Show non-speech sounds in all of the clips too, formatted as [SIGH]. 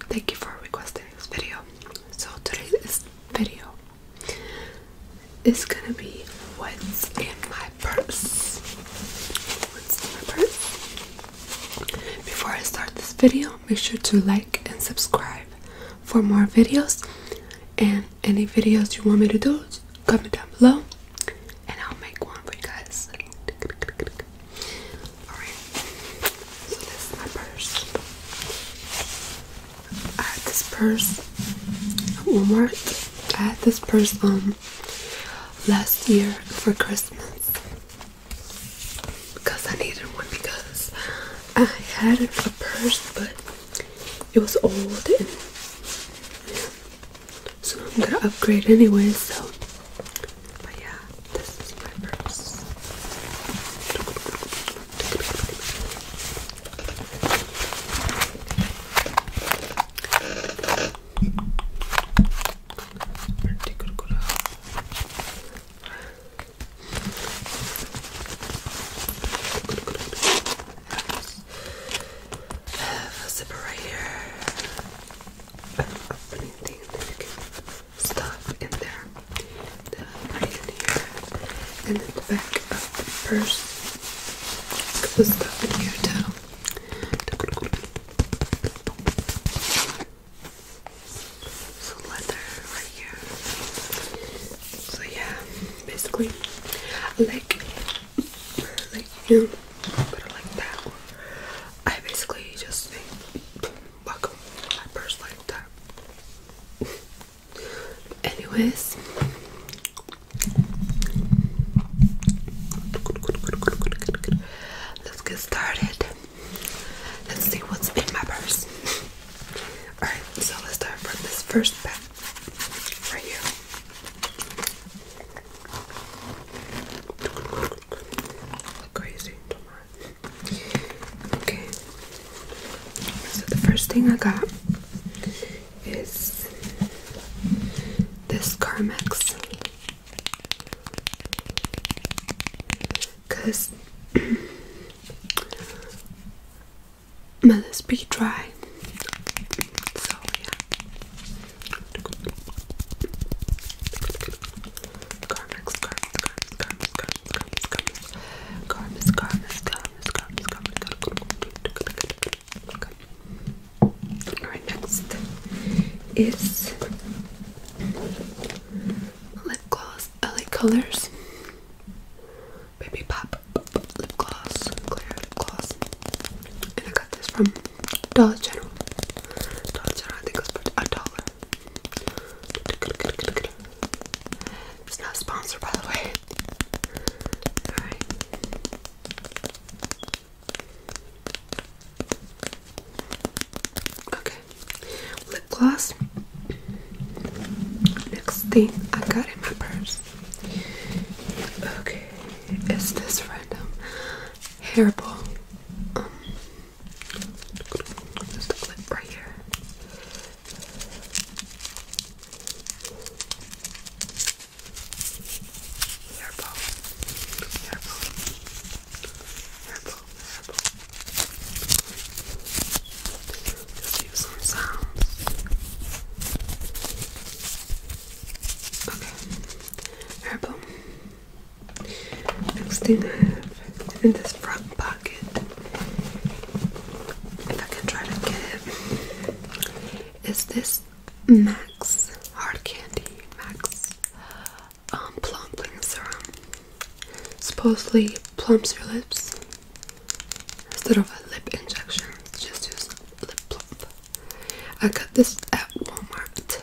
Thank you for requesting this video. So today's video is gonna be what's in my purse. What's in my purse? Before I start this video, make sure to like and subscribe for more videos. And any videos you want me to do, comment down below, and I'll make one for you guys. Alright, so this is my purse. I had this purse at Walmart. I had this purse um last year for Christmas because I needed one because I had a purse but it was old and so I'm gonna upgrade anyway so but yeah, this is my purse. I have a zipper right here. I stuff in there that I and in the back of the purse the stuff in here too so leather right here so yeah basically like like you but like that I basically just buckle my purse like Anyways, let's get started. Let's see what's in my purse. Alright, so let's start from this first bag right here. crazy, tomorrow. Okay. So the first thing I got is this Carmex. Cause [CLEARS THROAT] my lips be dry. So yeah. Garments, garments, Alright, next is lip gloss LA Colors Baby Pop Lip Gloss, Clear Lip Gloss. And I got this from Dollar General. Dollar General, I think it was a dollar. It's not sponsored, by the way. Okay. Lip gloss. Next thing I got in my purse. Okay. Is this random hairball? Um, there's the clip right here. Hairball. Hairball. Hairball. Hairball. Just use some sounds. Okay. Hairball. Next thing I have in this front pocket, if I can try to get it, is this Max Hard Candy Max um, Plumping Serum. Supposedly plumps your lips instead of a lip injection. Just use lip plump. I got this at Walmart.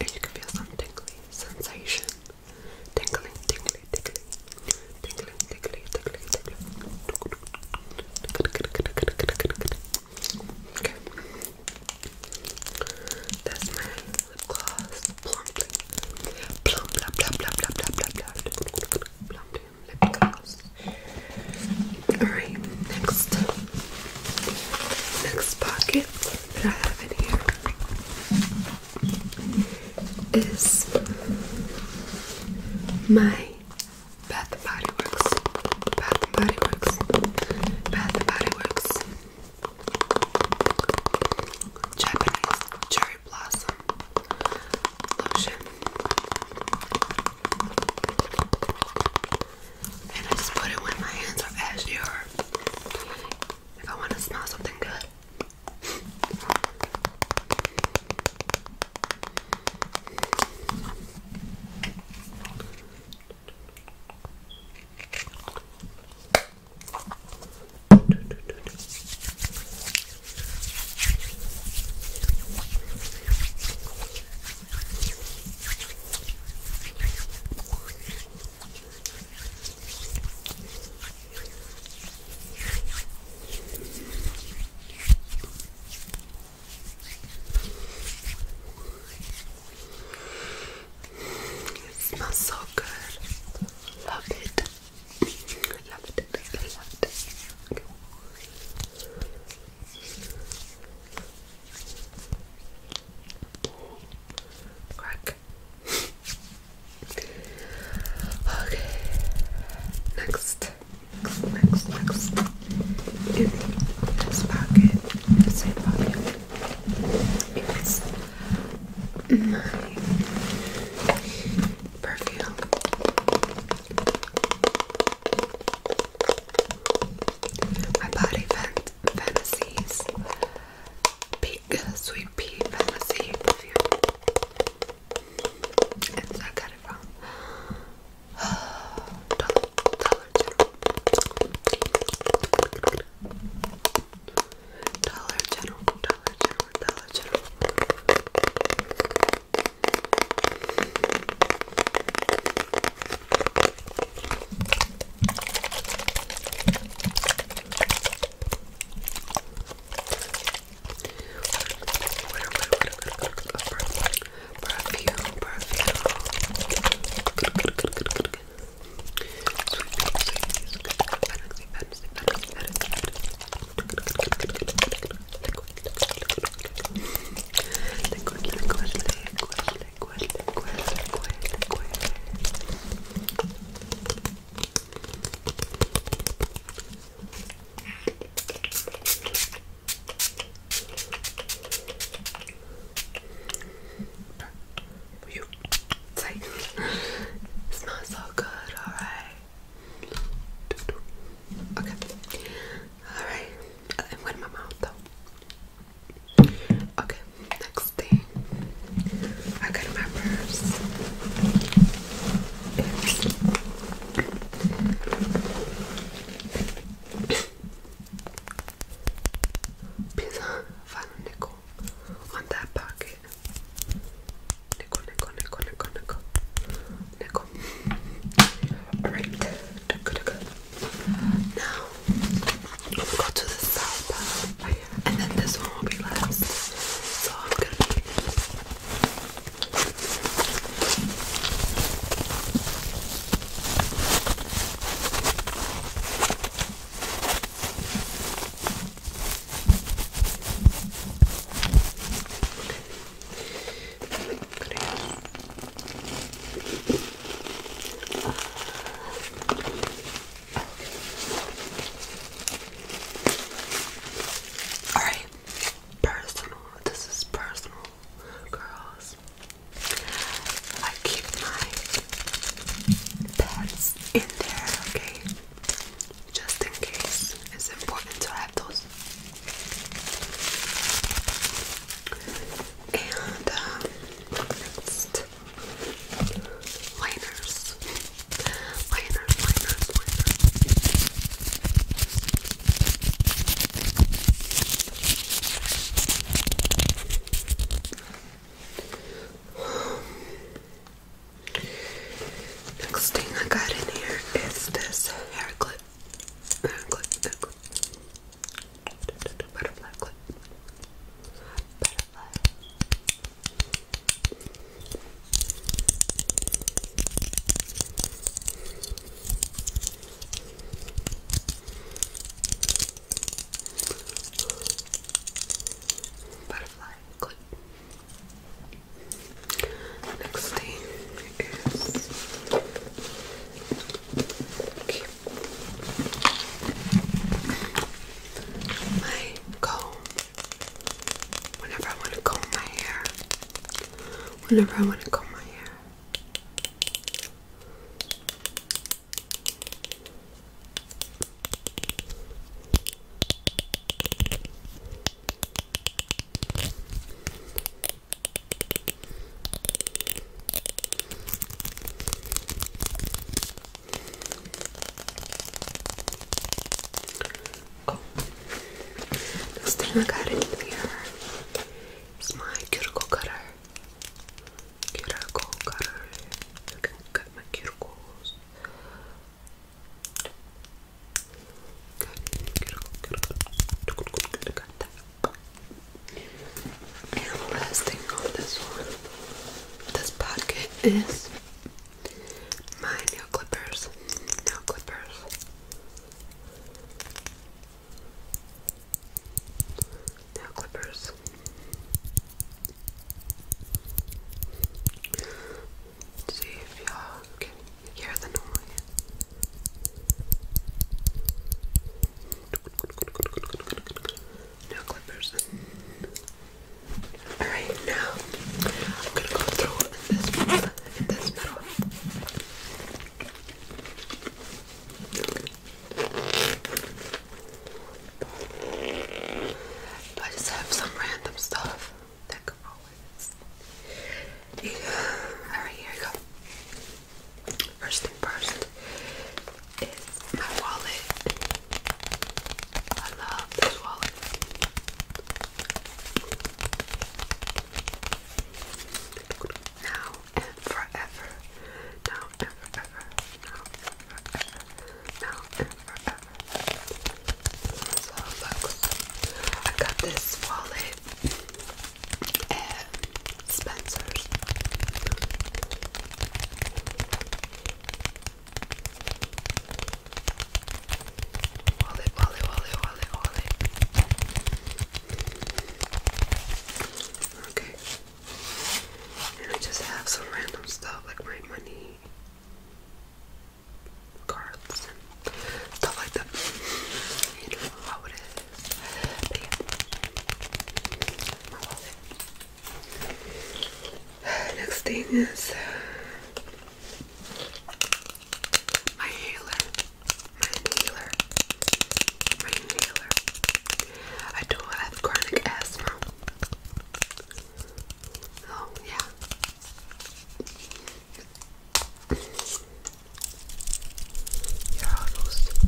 and you can feel some tingly sensation. Tingling, tingly, tingly. Tingling, tingly, tingly, tingly. Okay. That's my lip gloss. Plumply. Plump, blah, blah, blah, blah, blah, blah, lip gloss. Alright, next. Next pocket kits that I have in here is my Bath and Body Works, Bath and Body Works, Bath and Body Works Japanese Cherry Blossom Lotion. And I just put it when my hands are ashy or if I want to smell something good. It smells so good. Love it. Love it. Love it. Crack. [LAUGHS] okay. Next. Next, next, next. In this pocket, in the pocket, is my perfume. My body fantasies. sweet pea fantasy And so I got it from [SIGHS] Dollar General. Dollar General, Dollar General, Dollar General. Liquid, liquid, liquid, liquid, you take it smells so good, alright. Okay. Alright. I'm my mouth though. Okay, next thing. I got my purse. Please find nickel on that pocket. nickel, nickel, nickel, nickel. Nickel. Alright good, good, good. Now we'll go to the side part, and then this one will be last. So I'm gonna all right, personal. This is personal, girls. I keep my pets in there, okay? Just in case, it's important to have those and um, next liners, liners, liners, liners. Next thing I got in here is this hair clip. Hair clip, hair clip. Butterfly clip. Butterfly. Butterfly clip. Next thing is my comb. Whenever I want to comb my hair. Whenever I want to comb my hair. Oh, this thing I got in here is my cuticle cutter. Cuticle cutter. I can cut my cuticles. Cut, cuticle, cuticle. Cut that. And last thing on this one, this pocket is my nail clippers. Nail clippers. Nail clippers. see if y'all hear the noise. No clippers. Alright, now I'm gonna go through this one, this middle. I just have some random stuff that could always. Yeah. Alright, here we go. First thing first is my wallet. I love this wallet. Now and forever. Now and forever. Now and forever. Now and forever. So, folks, I got this wallet uh, Spencer's. Wally, Wally, Wally, Wally, Okay. And I just have some random stuff like my money cards stuff like that. You know how it is. Next thing is uh, my inhaler. My inhaler. My inhaler. I do have chronic asthma. Oh, yeah. You're almost.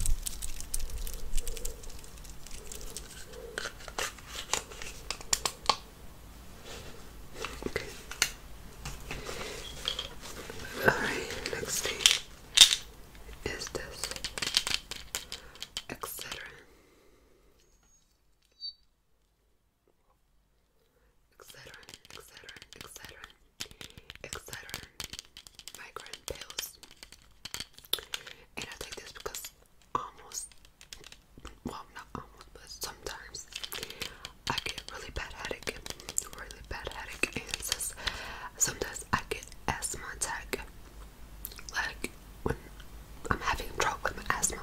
Okay. Alright, next is this, etc. Etc. Etc. Etc etc. Migraine pills. And I take this because almost, well, not almost, but sometimes I get really bad headache, really bad headache, and sometimes I get asthma attack. Like when I'm having trouble with my asthma,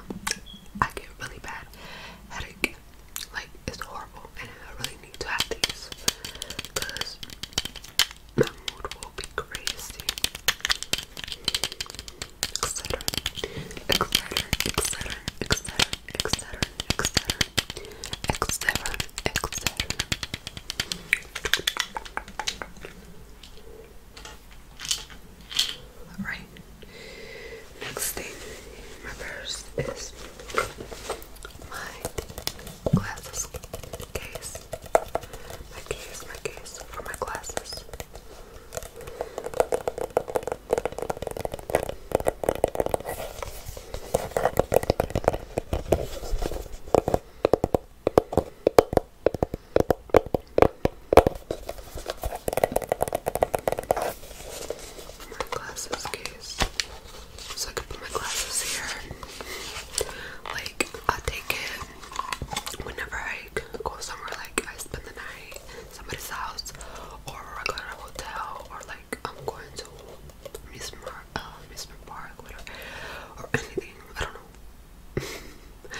I get really bad headache, like it's horrible and I really need to have these because my mood will be crazy. Etc. Etc. Etc. Etc. Etc. Etc. Etc. Alright. Next thing in my purse is my glasses case. My case, my case for my glasses. my glasses case. So I can put my glasses here. Like I take it whenever I go somewhere like I spend the night somebody's house or I go to a hotel or like I'm going to amusement uh, park whatever or anything. I don't know.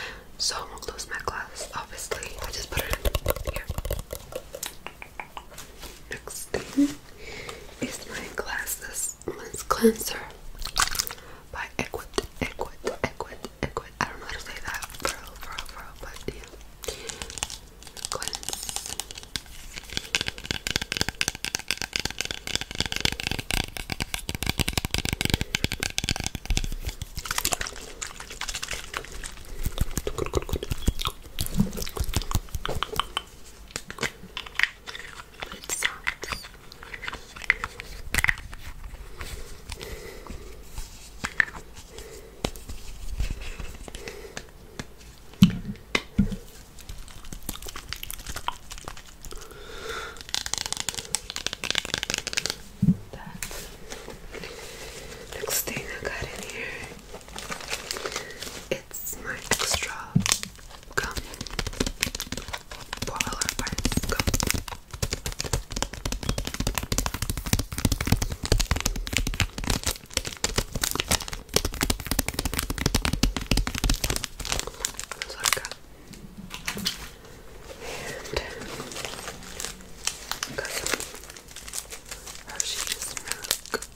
[LAUGHS] so I am gonna close my glass obviously. I just put it in here. Next thing is my glasses cleanser by Equid, Equid, Equid, Equid. I don't know how to say that, bro, bro, bro, but yeah. Cleanse. Good, good, good. Good sounds. next thing I got in here it's my extra gum. Boiler gum. So and Hershey's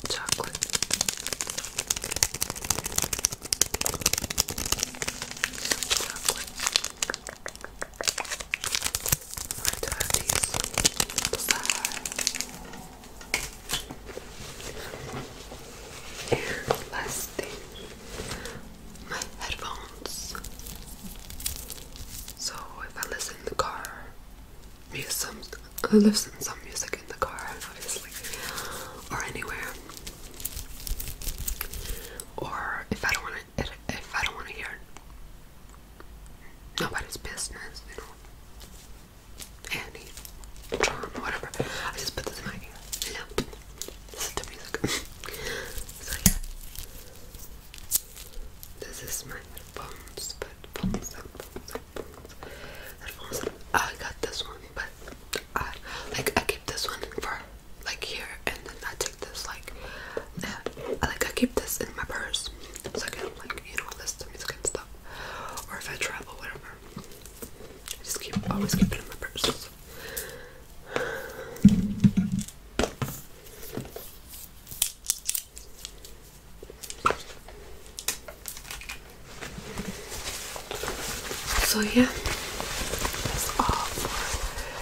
chocolate. chocolate. I do have these the side. And last thing, my headphones. So if I listen in the car, some listen some music in the car, obviously, or anywhere. Or if I don't want to, if I don't want to hear nobody's business, you know, any drum, whatever, I just put this in my ear. Yeah, music. [LAUGHS] so yeah, this is my headphones, but phones up, phones I got this one, but I like I keep this one for like here, and then I take this like yeah, I like I keep this in my purse, so I can like you know listen to music and stuff, or if I travel, whatever. I just keep always keep it in my purse. So yeah, that's all for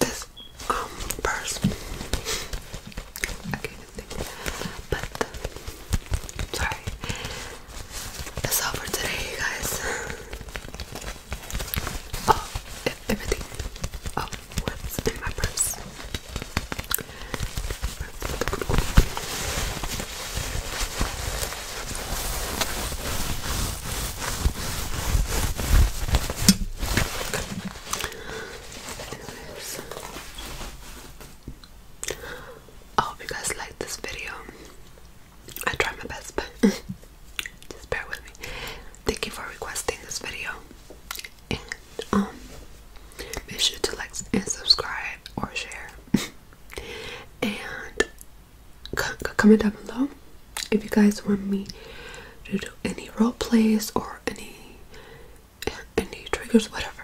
this um purse. I can't even think. But sorry. That's all for today guys. [LAUGHS] Oh, everything. Oh, what's in my purse. I hope you guys liked this video. I try my best, but [LAUGHS] just bear with me. Thank you for requesting this video and make um, sure to like and subscribe or share [LAUGHS] and comment down below if you guys want me to do any role plays or any any triggers whatever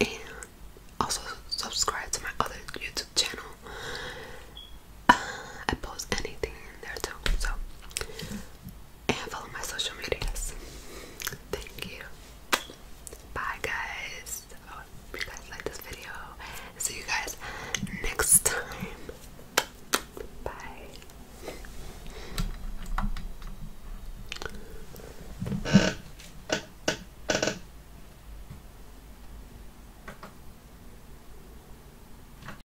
and also subscribe to my other youtube channel uh, i post anything in there too so and follow my social medias. Thank you. Bye, guys. I you guys like this video. See you guys next time. Bye.